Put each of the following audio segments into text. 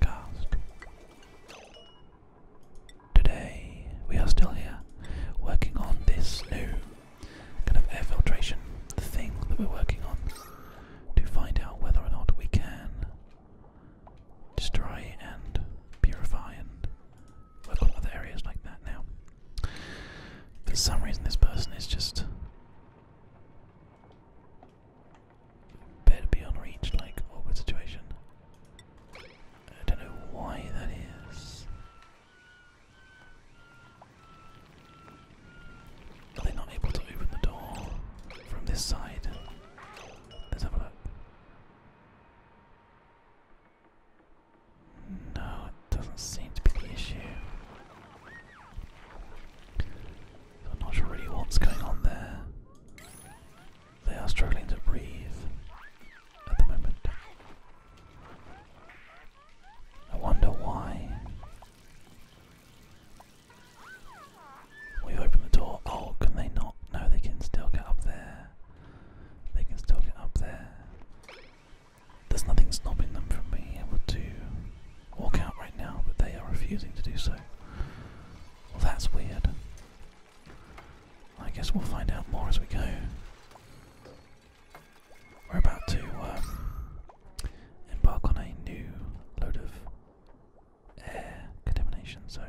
Cast. Today we are still here working on this new kind of air filtration thing that we're working on to find out whether or not we can destroy and purify and work on other areas like that now. For some reason, this person is just Better be on awkward situation. I don't know why that is. Are they not able to open the door from this side? Let's No, it doesn't seem to be the issue. I'm not sure really what's going on there. They are struggling to breathe at the moment. I wonder why. We open the door. Oh, can they not? No, they can still get up there. They can still get up there. There's nothing stopping them from being able to walk out right now, but they are refusing to do so. Well, that's weird. I guess we'll find out more as we go. We're about to um, embark on a new load of air contamination, so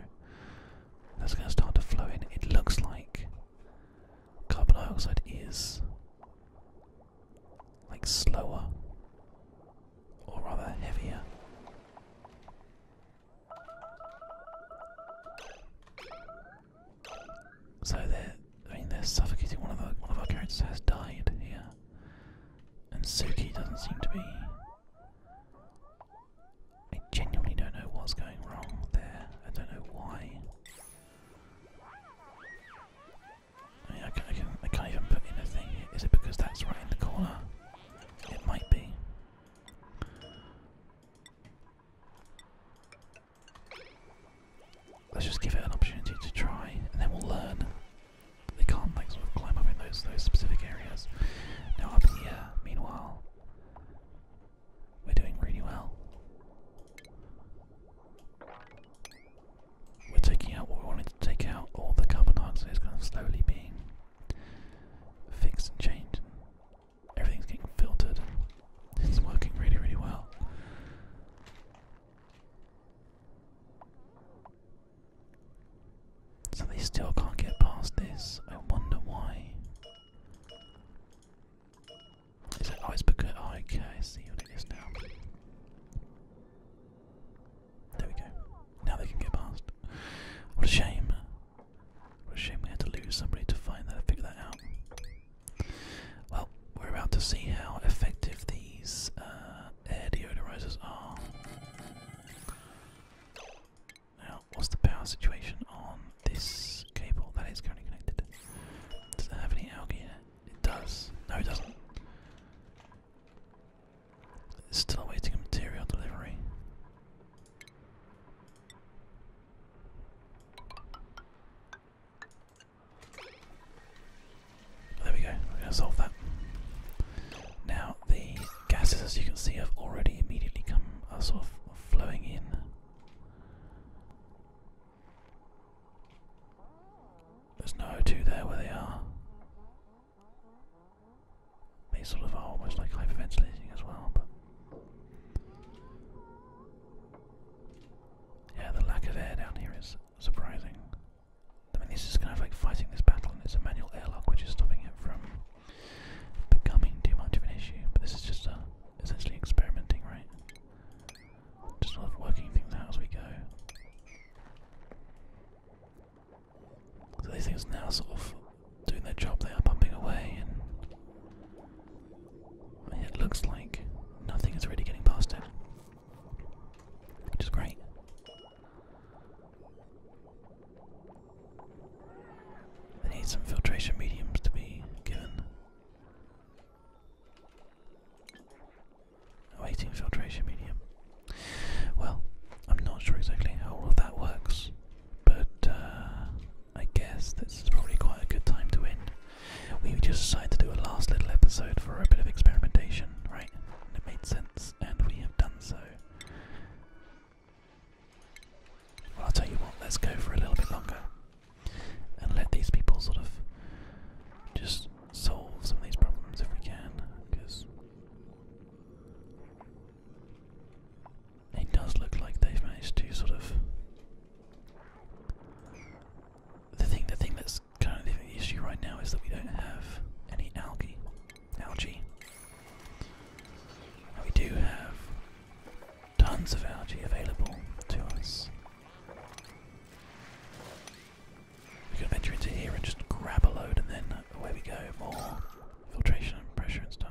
that's going to start to flow in. It looks like carbon dioxide is like slower or rather heavier. So they're, I mean, they're suffocating. One of one of our characters has died here, and Suki doesn't seem to be. I genuinely don't know what's going wrong there. I don't know why. I can, can't even put in a thing. Is it because that's right in the corner? It might be. Let's just give it an opportunity to try, and then we'll learn. They can't like sort of climb up in those those specific areas. Now up here, meanwhile, we're doing really well we're taking out what we wanted to take out, all the carbon dioxide is going to slowly be fixed and changed. everything's getting filtered. it's working really, really well. So they still can't get past this. I wonder why. Is it? Oh, because. Oh, okay, see what it is now. There we go. Now they can get past. What a shame. What a shame we had to lose somebody to find that and figure that out. Well, we're about to see how effective these uh, air deodorizers are. Now, what's the power situation on this cable? That is currently connected. Does it have any algae It does. No, it doesn't. Still awaiting a material delivery. There we go, we're going to solve that. Now, the gases, as you can see, have already immediately come are uh, sort of flowing in. There's no 2 there where they are. They sort of are almost like hyperventilating as well, but. Yeah, the lack of air down here is surprising. I mean, this is kind of like fighting this battle, and it's a manual airlock which is stopping it from becoming too much of an issue. But this is just uh, essentially experimenting, right? Just sort of working things out as we go. So these things now sort of doing their job, they are pumping away and it looks like nothing is really getting past it. Which is great. They need some filtration mediums to be given. Awaiting oh, filtration medium. Well, I'm not sure exactly how all of that works, but uh, I guess this is probably quite a good time to end. We just decided to do a last little episode for a bit of experimentation, right? And it made sense, and we have done so. I'll tell you what, let's go for a little bit longer and let these people sort of just solve some of these problems if we can, because it does look like they've managed to sort of. The thing, the thing that's kind of the issue right now is that we don't have any algae, algae. we do have tons of algae available to us. We can venture into here and just grab a load, and then away we go. More filtration and pressure and stuff.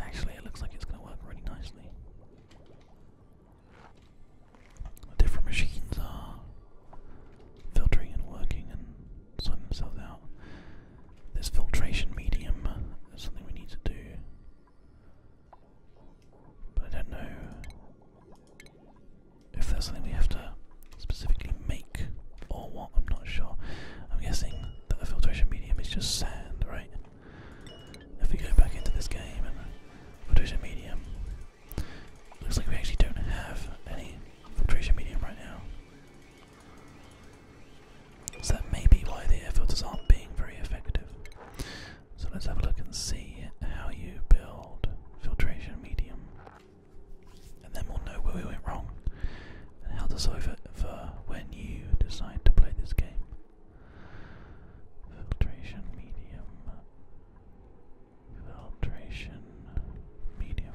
actually, it looks like it's going to work really nicely. different machines are filtering and working and sorting themselves out. This filtration medium is something we need to do. I don't know if that's something we have to specifically make or what, I'm not sure. I'm guessing that the filtration medium is just sand, right? If we go back into this game and filtration medium, looks like we actually don't have any filtration medium right now. So that may be why the air filters aren't being very effective. So let's have a look and see how you build filtration medium. And then we'll know where we went wrong and how to solve it for when you decide to play this game. Filtration medium. Filtration medium.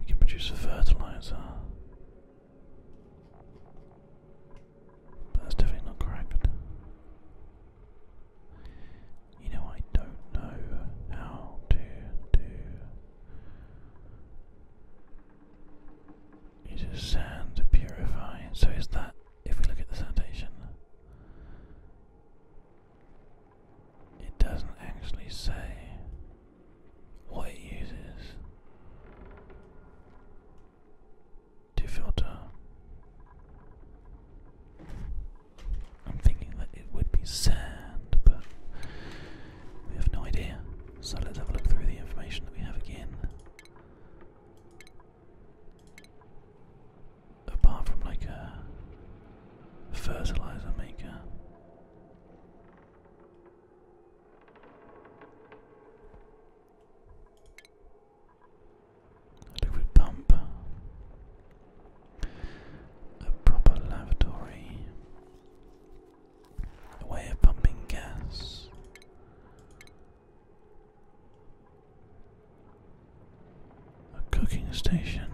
We can produce a fertilizer. But that's definitely not correct. You know, I don't know how to do. It is sand to So is that if we look at the sanitation? it doesn't actually say what it uses to filter. I'm thinking that it would be sand, but we have no idea. So let's have a look through the information that we have again apart from like a fertilizer maker. A liquid pump, a proper lavatory, a way of pumping gas, a cooking station,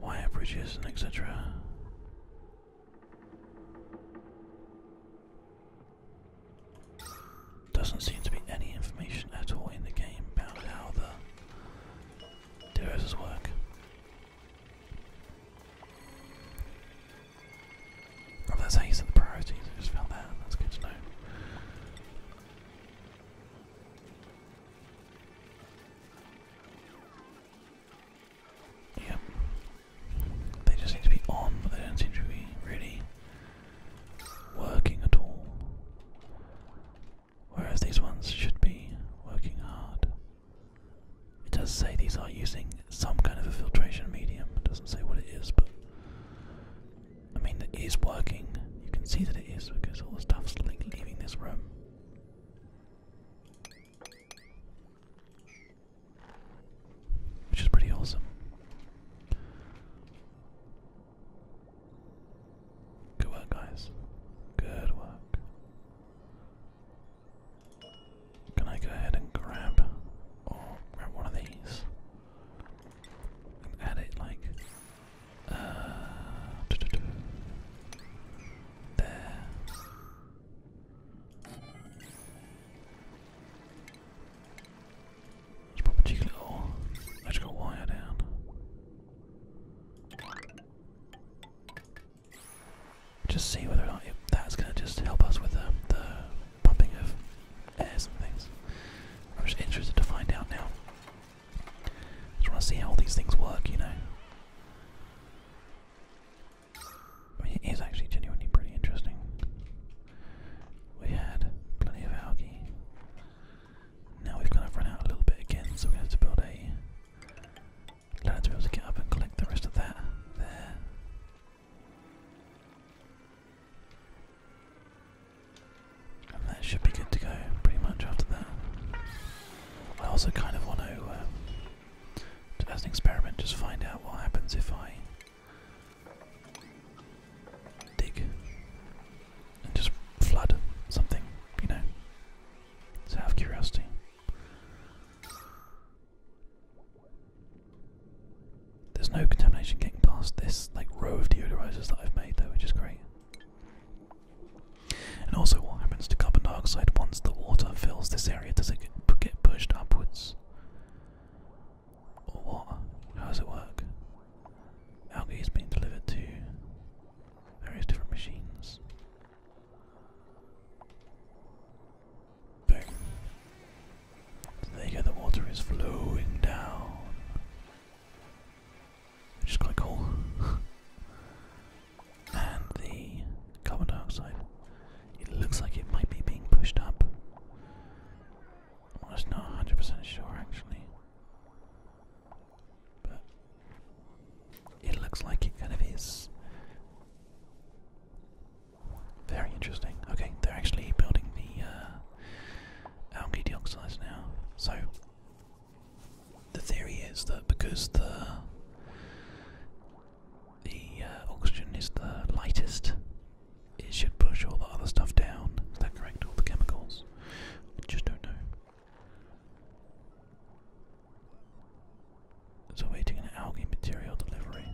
wire bridges, and etc. Doesn't seem to be any information at all in the game about how the devices work. that's how you set the priorities. I just found that. That's good to know. Yep. They just seem to be on, but they don't seem to be really working at all. Whereas these ones should be working hard. It does say these are using some kind of a filtration medium. doesn't say what it is, but I mean, it is working. You can see that it is because all the stuff's like leaving this room. Which is pretty awesome. Good work, guys. Good work. Can I go ahead and grab or grab one of these? add it like uh, there. Let's pop a cheeky little electrical wire down. Just see whether or not that's going to just help us with the, the pumping of some things. I'm just interested to find out now. Just want to see how all these things work, you know. it is actually genuinely pretty interesting. We had plenty of algae. Now we've kind of run out a little bit again, so we have to build a ladder to be able to get up and collect the rest of that there that should be good to go pretty much after that. I also kind of want to, um, as an experiment, just find out what happens if I dig and just flood something, you know. out of curiosity. There's no contamination getting past this like row of deodorizers that I've made though, which is great. And also, what happens to carbon dioxide once the water fills this area? Does it get pushed upwards? Or what? How does it work? Algae is being delivered to various different machines there the water is flowing down. Which is quite cool. and the carbon dioxide. It looks like it might be being pushed up. Well, it's not 100% sure actually. But it looks like it kind of is. Very interesting. Okay, they're actually building the uh, algae deoxides now. So the theory is that because the the uh, oxygen is the lightest, it should push all the other stuff down. Is that correct? All the chemicals? just don't know. It's awaiting an algae material delivery.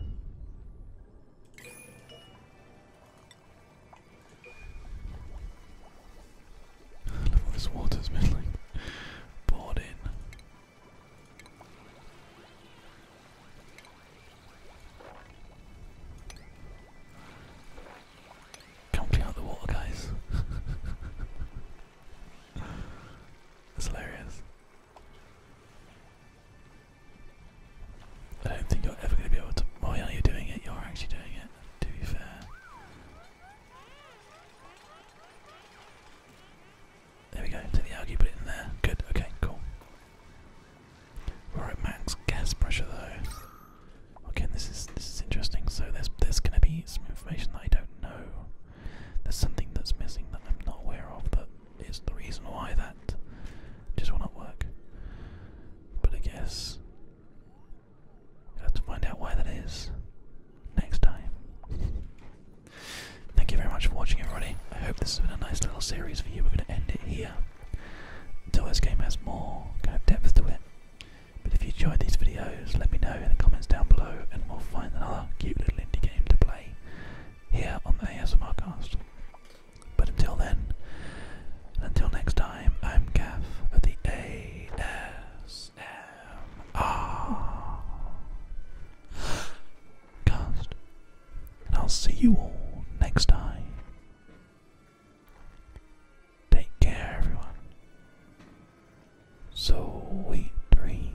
I love this water's been like poured in. can out the water, guys. That's hilarious. I don't think you're ever going to be able to. Oh yeah, you doing it. You're actually doing it. To be fair. There we go. Take the algae, put it in there. Good. Okay. Cool. All right, max gas pressure though. Okay, this is this is interesting. So there's there's going to be some information I don't know. There's something that's missing that I'm not aware of that is the reason why that just will not work. But I guess we have to find out why that is next time. Thank you very much for watching, everybody. I hope this has been a nice little series for you. We're going to end it here until this game has more kind of depth to it. But if you enjoyed these videos, let me know in the comments down below, and we'll find another cute little indie game to play here on the ASMR cast, But until then, until next time, I'm Gaff of the ASMR Cast, and I'll see you all next time. Take care, everyone. Sweet dreams.